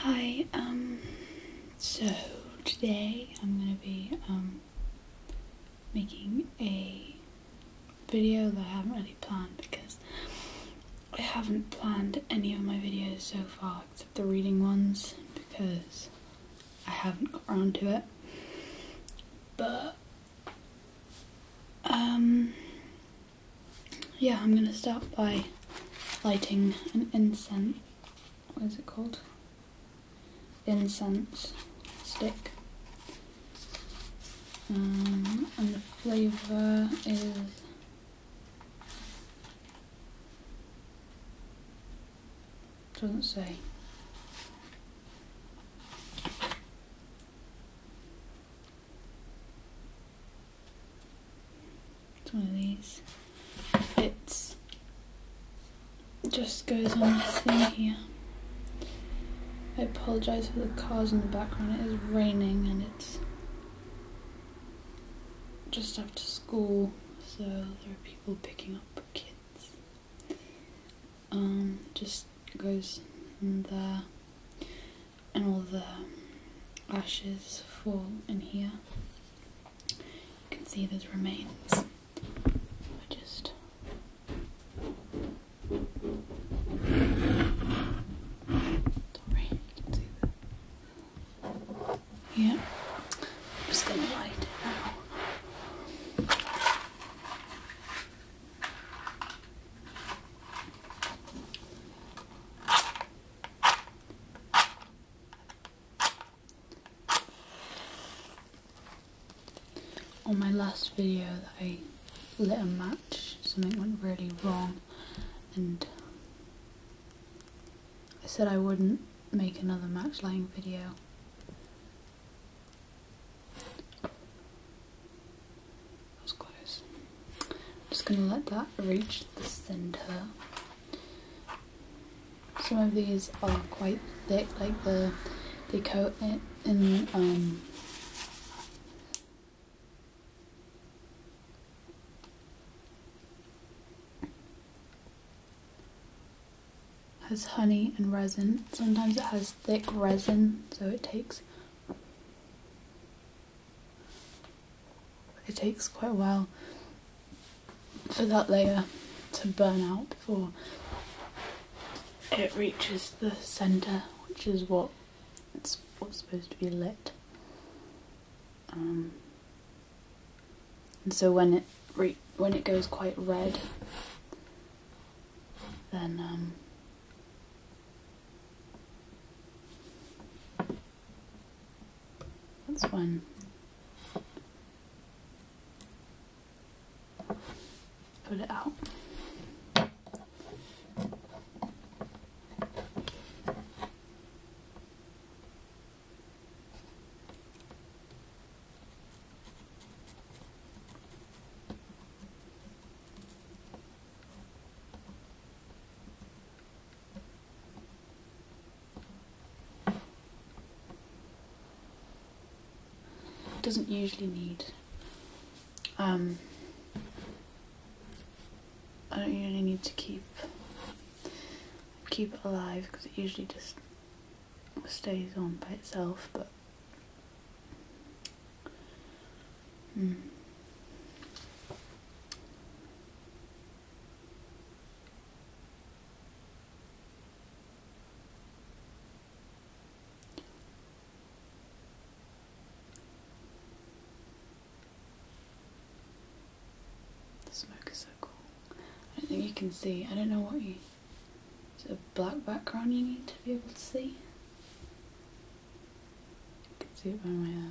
Hi, um, so today I'm gonna be, um, making a video that I haven't really planned because I haven't planned any of my videos so far except the reading ones because I haven't got around to it. But, um, yeah, I'm gonna start by lighting an incense. What is it called? Incense stick. Um, and the flavour is doesn't say. It's one of these. It just goes on this thing here. I apologise for the cars in the background. It is raining and it's just after school, so there are people picking up kids. Um, just goes in there and all the ashes fall in here. You can see there's remains. I just sorry, Yeah, I'm just gonna light it now. On my last video I lit a match, something went really wrong and I said I wouldn't make another match lighting video. That was close. I'm just going to let that reach the centre. Some of these are quite thick, like the they coat it in um, has honey and resin. Sometimes it has thick resin, so it takes it takes quite a while for that layer to burn out before it reaches the centre, which is what it's what's supposed to be lit. Um, and so when it re when it goes quite red, then um, that's one. Put it out doesn't usually need um, I don't usually need to keep keep it alive because it usually just stays on by itself but hmm. The smoke is so cool. I don't think you can see. I don't know what you. Is a black background you need to be able to see? You can see it by my. eye. Uh,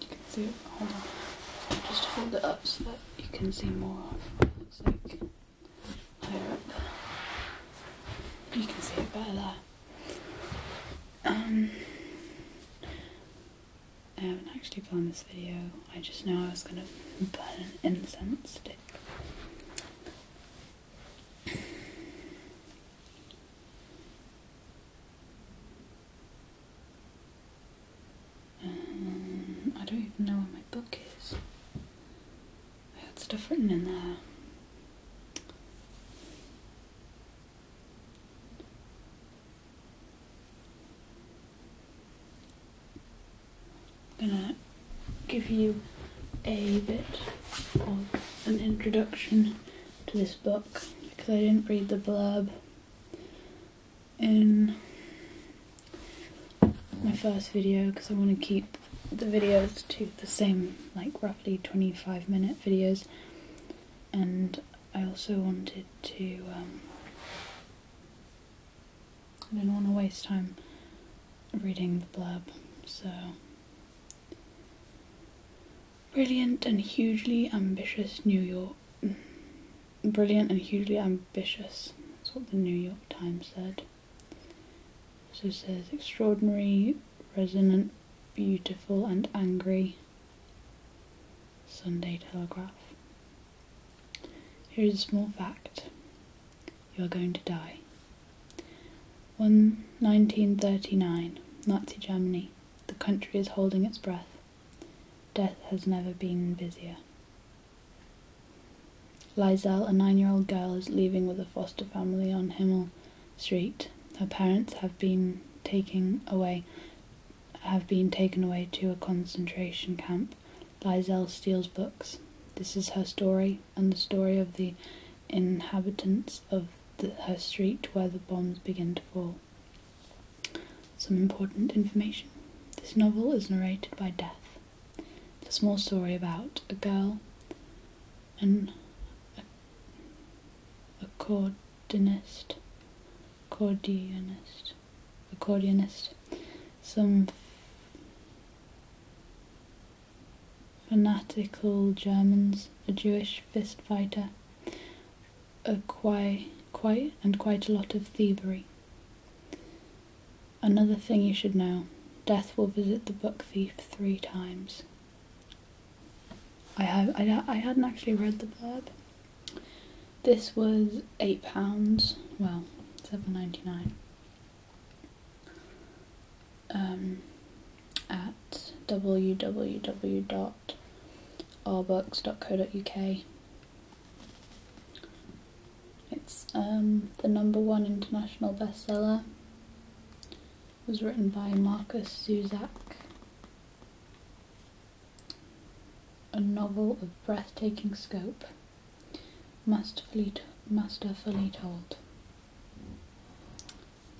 You can see it. Hold on. Just hold it up so that you can see more of what it looks like higher up. You can see it better Um, I haven't actually filmed this video. I just know I was gonna burn an incense stick. Um, I don't even know where my book is. I had in there. gonna give you a bit of an introduction to this book because I didn't read the blurb in my first video because I want to keep the videos to the same like roughly 25 minute videos and I also wanted to um, I didn't want to waste time reading the blurb so Brilliant and hugely ambitious New York. Brilliant and hugely ambitious. That's what the New York Times said. So says extraordinary, resonant, beautiful, and angry. Sunday Telegraph. Here is a small fact you are going to die. One, 1939, Nazi Germany. The country is holding its breath. Death has never been busier. Lizel, a nine year old girl, is leaving with a foster family on Himmel Street. Her parents have been taken away have been taken away to a concentration camp. Lizel steals books. This is her story and the story of the inhabitants of her street where the bombs begin to fall. Some important information. This novel is narrated by Death. It's a small story about a girl, an accordionist, accordionist, accordionist, some fanatical Germans, a Jewish fist fighter, a quite, quite and quite a lot of thievery. Another thing you should know death will visit the book thief three times. I, have, I, I hadn't actually read the blurb. This was eight pounds, well, seven ninety nine. Um, at www.rbooks.co.uk. It's um, the number one international bestseller. It was written by Marcus Zuzak. A novel of breathtaking scope, masterfully, masterfully told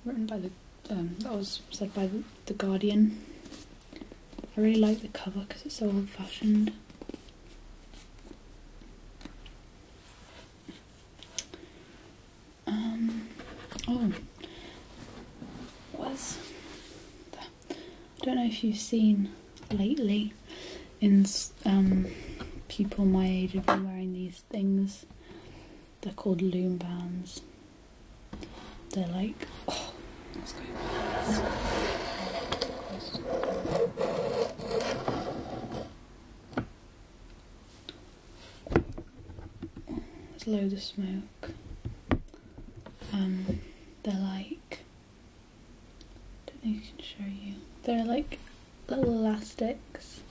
written by the um, that was said by the, the Guardian. I really like the cover because it's so old-fashioned. Um, oh, was I don't know if you've seen lately in um, people my age have been wearing these things they're called loom bands. They're like, oh, There's loads of smoke. Um, they're like, I don't think I can show you. They're like little elastics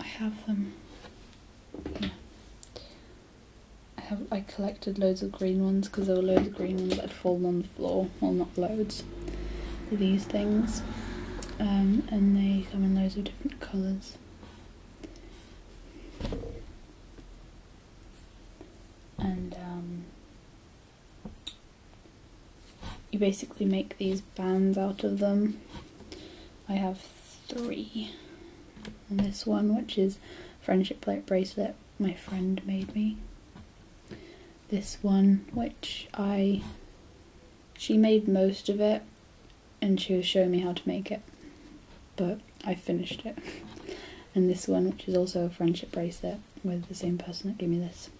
I have um, I have I collected loads of green ones because there were loads of green ones that had fallen on the floor. Well, not loads. These things, um, and they come in loads of different colours. And um, you basically make these bands out of them. I have three. And this one, which is friendship bracelet my friend made me. This one, which I, she made most of it and she was showing me how to make it, but I finished it. And this one, which is also a friendship bracelet with the same person that gave me this.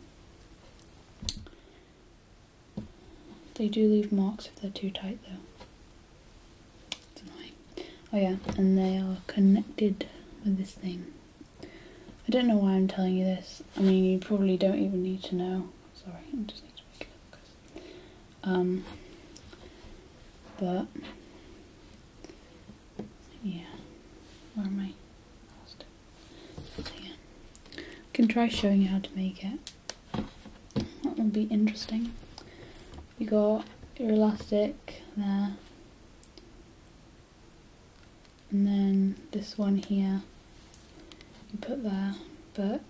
They do leave marks if they're too tight though. Oh yeah, and they are connected with this thing. I don't know why I'm telling you this. I mean, you probably don't even need to know. Sorry, I just need to make it up. um, but yeah, where am I can try showing you how to make it. That would be interesting. You got your elastic there. And then this one here, you put there, but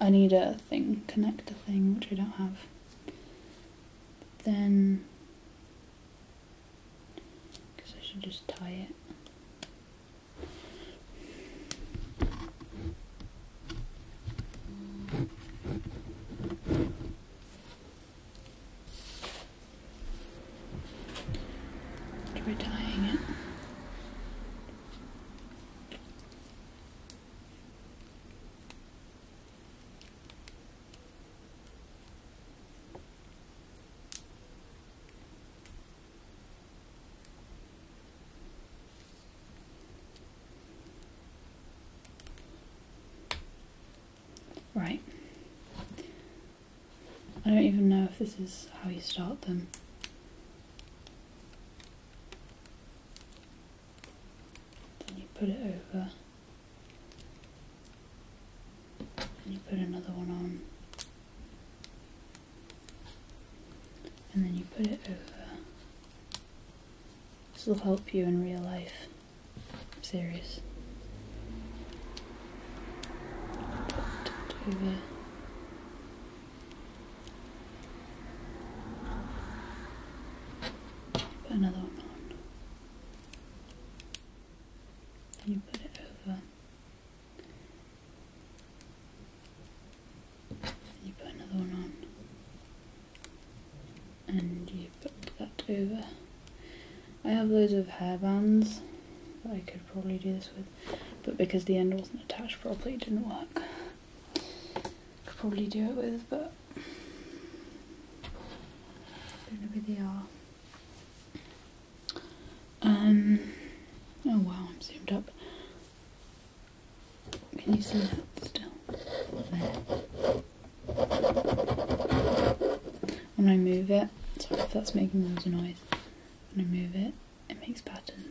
I need a thing, connector thing, which I don't have. then, because I should just tie it. And retying it. Right. I don't even know if this is how you start them. Then you put it over. And you put another one on and then you put it over. This will help you in real life. I'm serious. Put it over. Put another one on. Then you put it over you put another one on and you put that over. I have loads of hair bands that I could probably do this with but because the end wasn't attached properly it didn't work. Could probably do it with but don't know where they are. Um, oh wow, I'm zoomed up. Can you see that still? There. When I move it, sorry if that's making all of noise. When I move it, it makes patterns.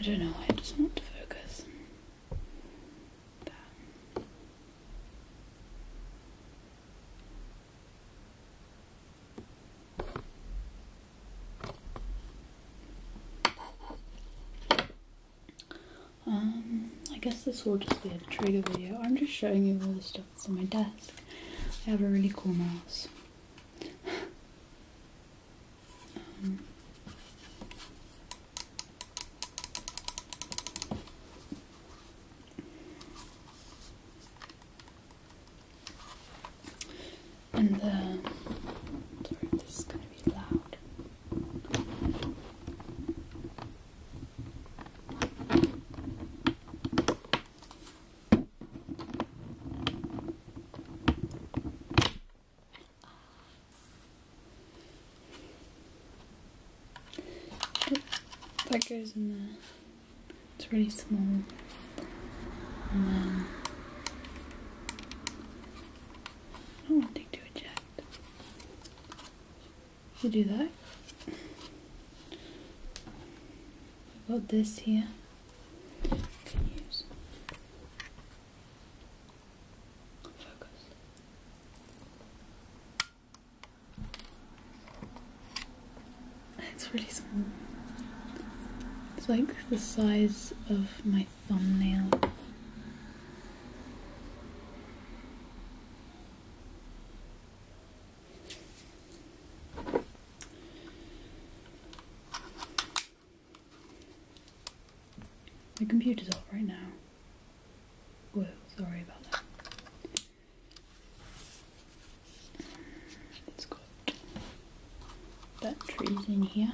I don't know I just want to focus. Um, I guess this will just be a trailer video. I'm just showing you all the stuff on my desk. I have a really cool mouse. Um, and this is going to be loud. That goes in there. It's pretty small. I want to do a jack. You do that. I've got this here. Can use. Focus. It's really small. It's like the size of my thumbnail. The computer's off right now. Whoa, sorry about that. It's got batteries in here.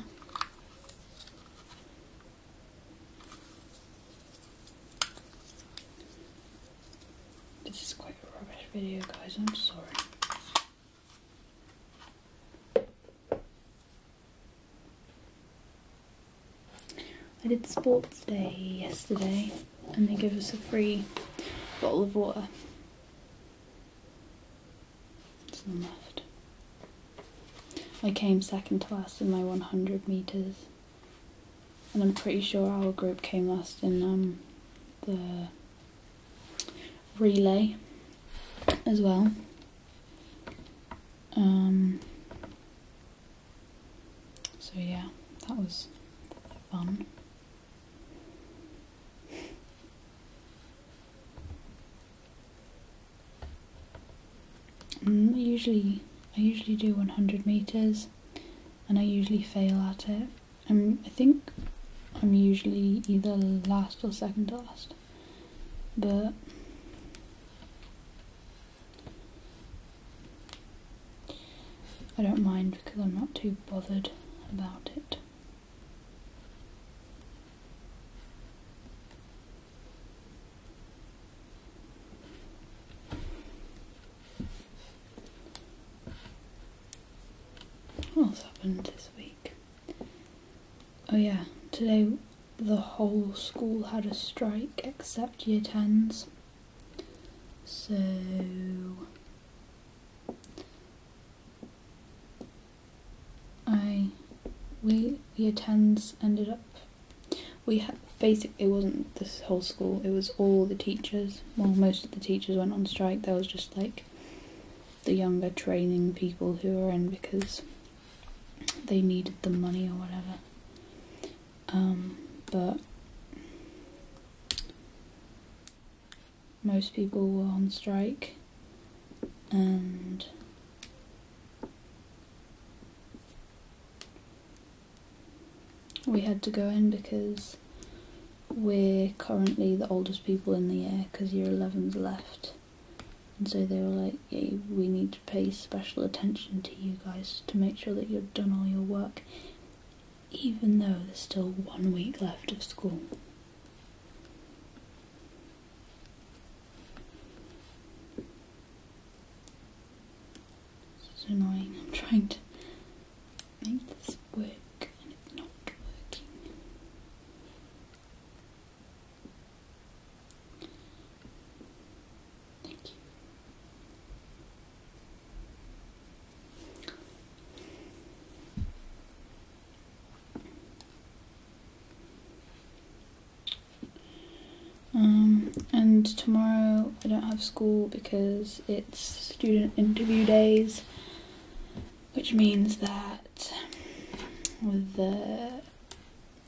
This is quite a rubbish video, guys. I'm sorry. I did sports day yesterday, and they gave us a free bottle of water. It's left. I came second to last in my 100 meters, and I'm pretty sure our group came last in um, the relay as well. Um, so yeah, that was fun. Mm, usually, I usually do 100 meters, and I usually fail at it. Um, I think I'm usually either last or second to last, but I don't mind because I'm not too bothered about it. What's happened this week? Oh, yeah, today the whole school had a strike except year 10s. So. I. We, year 10s ended up we had basically it wasn't this whole school; it was all the teachers. Well, most of the teachers went on strike. There was just like the younger training people who were in because they needed the money or whatever. Um, but most people were on strike and we had to go in because we're currently the oldest people in the year because you you're 11's left. And so they were like, we need to pay special attention to you guys to make sure that you've done all your work, even though there's still one week left of school. This is annoying. I'm trying to make this work and it's not working. Thank you. Um, and tomorrow I don't have school because it's student interview days, which means that the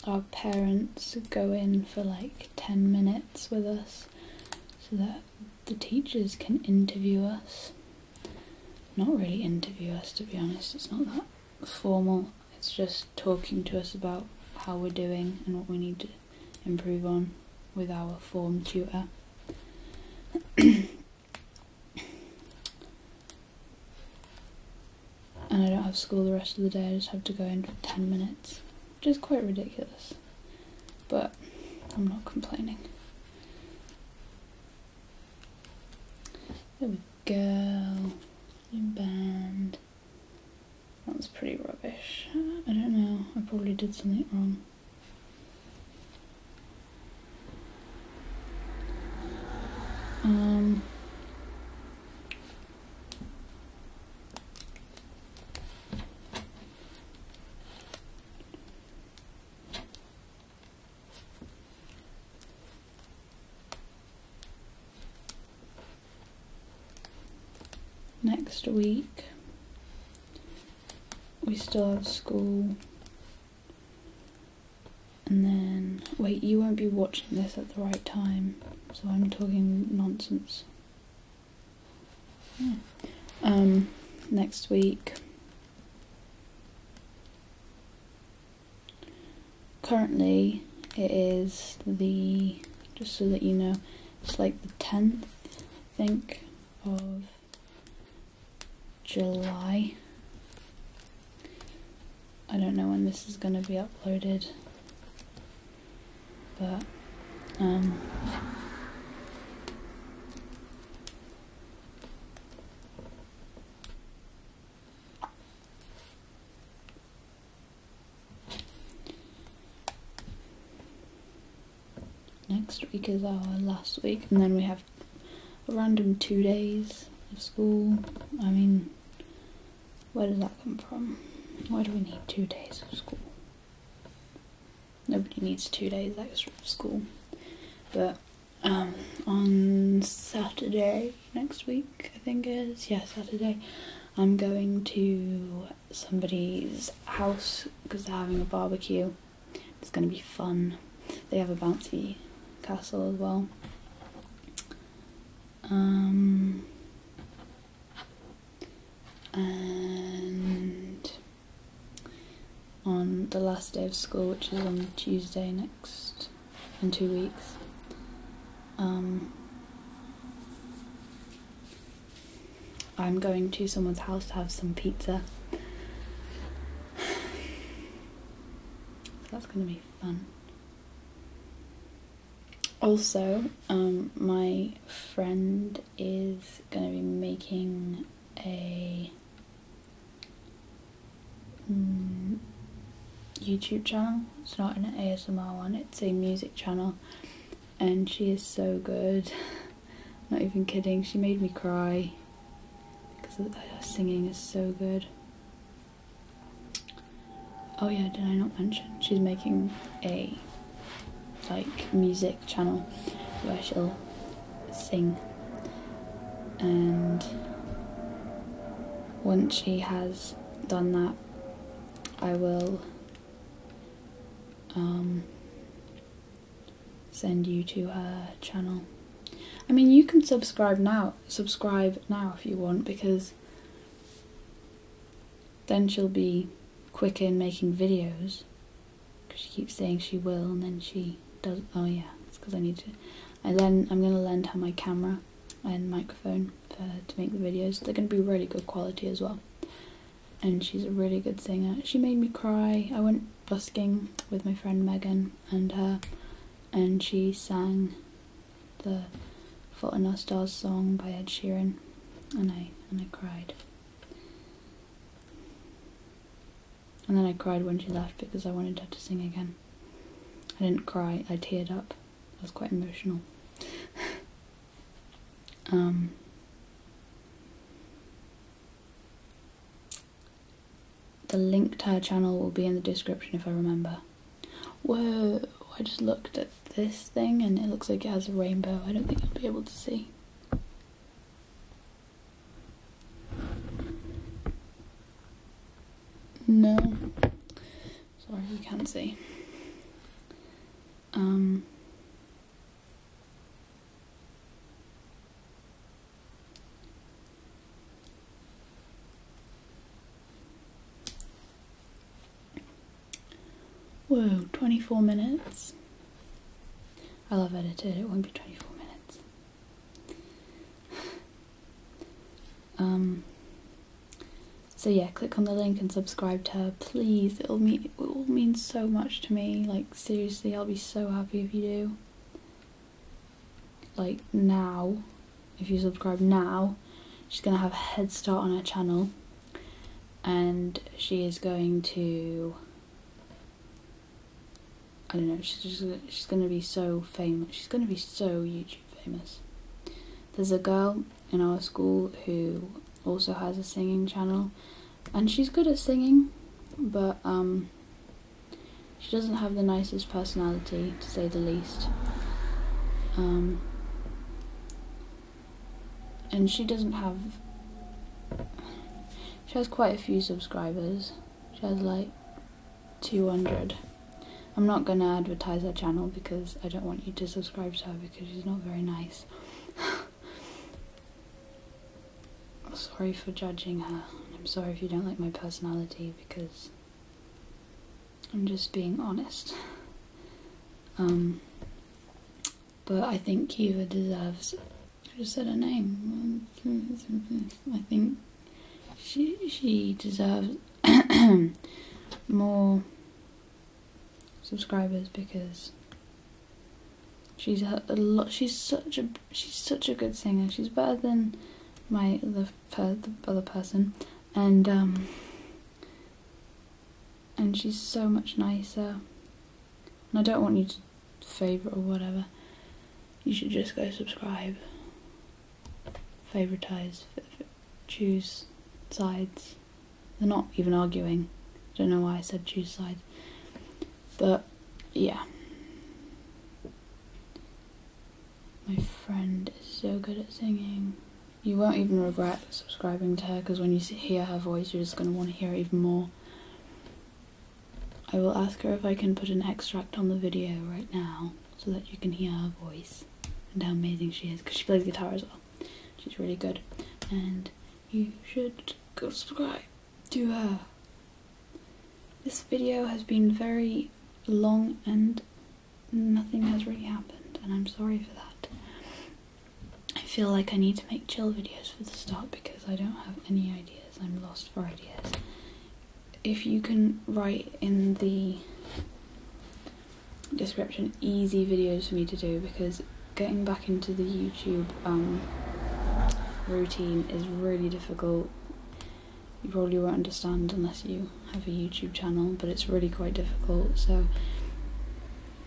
our parents go in for like 10 minutes with us so that the teachers can interview us. Not really interview us to be honest, it's not that formal. It's just talking to us about how we're doing and what we need to improve on with our form tutor. and I don't have school the rest of the day, I just have to go in for 10 minutes, which is quite ridiculous. But I'm not complaining. There we go. In band. That was pretty rubbish. I don't know, I probably did something wrong. Um, Next week we still have school and then wait you won't be watching this at the right time so I'm talking nonsense um next week Currently, it is the, just so that you know, it's like the 10th, I think, of July. I don't know when this is going to be uploaded, but, um, Next week is our last week, and then we have a random two days of school. I mean, where does that come from? Why do we need two days of school? Nobody needs two days extra of school. But um, on Saturday, next week, I think is Yeah, Saturday. I'm going to somebody's house because they're having a barbecue. It's going to be fun. They have a bouncy castle as well. Um, and on the last day of school, which is on Tuesday next in two weeks. Um, I'm going to someone's house to have some pizza. that's going to be fun. Also, um, my friend is going to be making a mm, YouTube channel. It's not an ASMR one, it's a music channel. And she is so good. not even kidding, she made me cry. Because her singing is so good. Oh yeah, did I not mention? She's making a like music channel where she'll sing and once she has done that I will um, send you to her channel. I mean, you can subscribe now. Subscribe now if you want, because then she'll be quicker in making videos. Because she keeps saying she will, and then she does. not Oh yeah, it's because I need to. I then I'm gonna lend her my camera and microphone time for to make the videos. They're going to be really good quality as well. And she's a really good singer. She made me cry. I went busking with my friend Megan and her, and she sang the Fault in Our song by Ed Sheeran, and I and I cried. And then I cried when she left because I wanted her to sing again. I didn't cry, I teared up. I was quite emotional. Um, the link to her channel will be in the description if I remember. Whoa, I just looked at this thing and it looks like it has a rainbow. I don't think you'll be able to see. No. Sorry, you can't see. Um, whoa, 24 minutes. I love edited, it won't be 24 minutes. Um, so yeah, click on the link and subscribe to her, please. It'll mean it will mean so much to me. Like seriously, I'll be so happy if you do. Like now, if you subscribe now, she's gonna have a head start on her channel, and she is going to. I don't know. She's just, she's gonna be so famous. She's gonna be so YouTube famous. There's a girl in our school who also has a singing channel, and she's good at singing, but um, she doesn't have the nicest personality, to say the least. Um, and she doesn't have. She has quite a few subscribers. She has like 200. I'm not gonna advertise her channel because I don't want you to subscribe to her because she's not very nice. I'm sorry for judging her. I'm sorry if you don't like my personality because I'm just being honest. Um, but I think Kiva deserves. I just said her name. I think she she deserves more subscribers because she's a, lot. She's such a she's such a good singer. She's better than my the other person, and um, and she's so much nicer. And I don't want you to favorite or whatever. You should just go subscribe favoritized, choose sides. They're not even arguing. I don't know why I said choose sides. But yeah. My friend is so good at singing. You won't even regret subscribing to her because when you hear her voice, you're just going to want to hear it even more. I will ask her if I can put an extract on the video right now so that you can hear her voice and how amazing she is because she plays guitar as well. She's really good, and you should go subscribe to her. This video has been very long and nothing has really happened, and I'm sorry for that. I feel like I need to make chill videos for the start because I don't have any ideas. I'm lost for ideas. If you can write in the description easy videos for me to do because getting back into the YouTube um, routine is really difficult. You probably won't understand unless you have a YouTube channel, but it's really quite difficult. So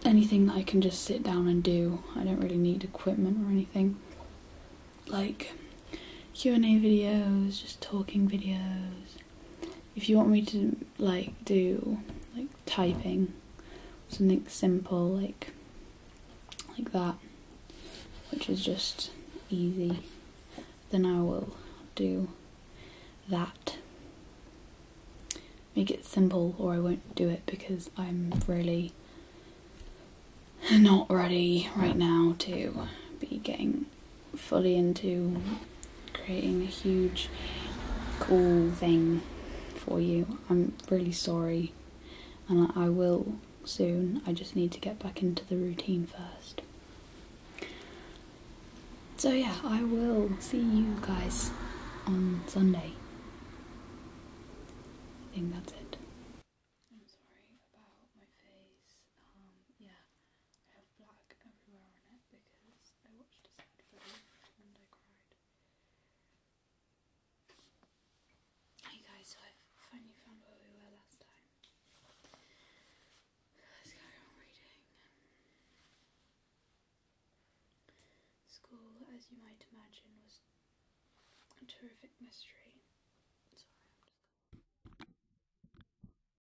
anything that I can just sit down and do, I don't really need equipment or anything. Like Q&A videos, just talking videos, if you want me to like do like typing something simple like like that which is just easy then I will do that make it simple or I won't do it because I'm really not ready right now to be getting fully into creating a huge, cool thing for you. I'm really sorry, and I will soon. I just need to get back into the routine first. So, yeah, I will see you guys on Sunday. I think that's it have black everywhere on it because I watched a sad film Hey guys, so i finally found where we were last time. Let's carry on reading. School, as you might imagine, was a terrific mystery.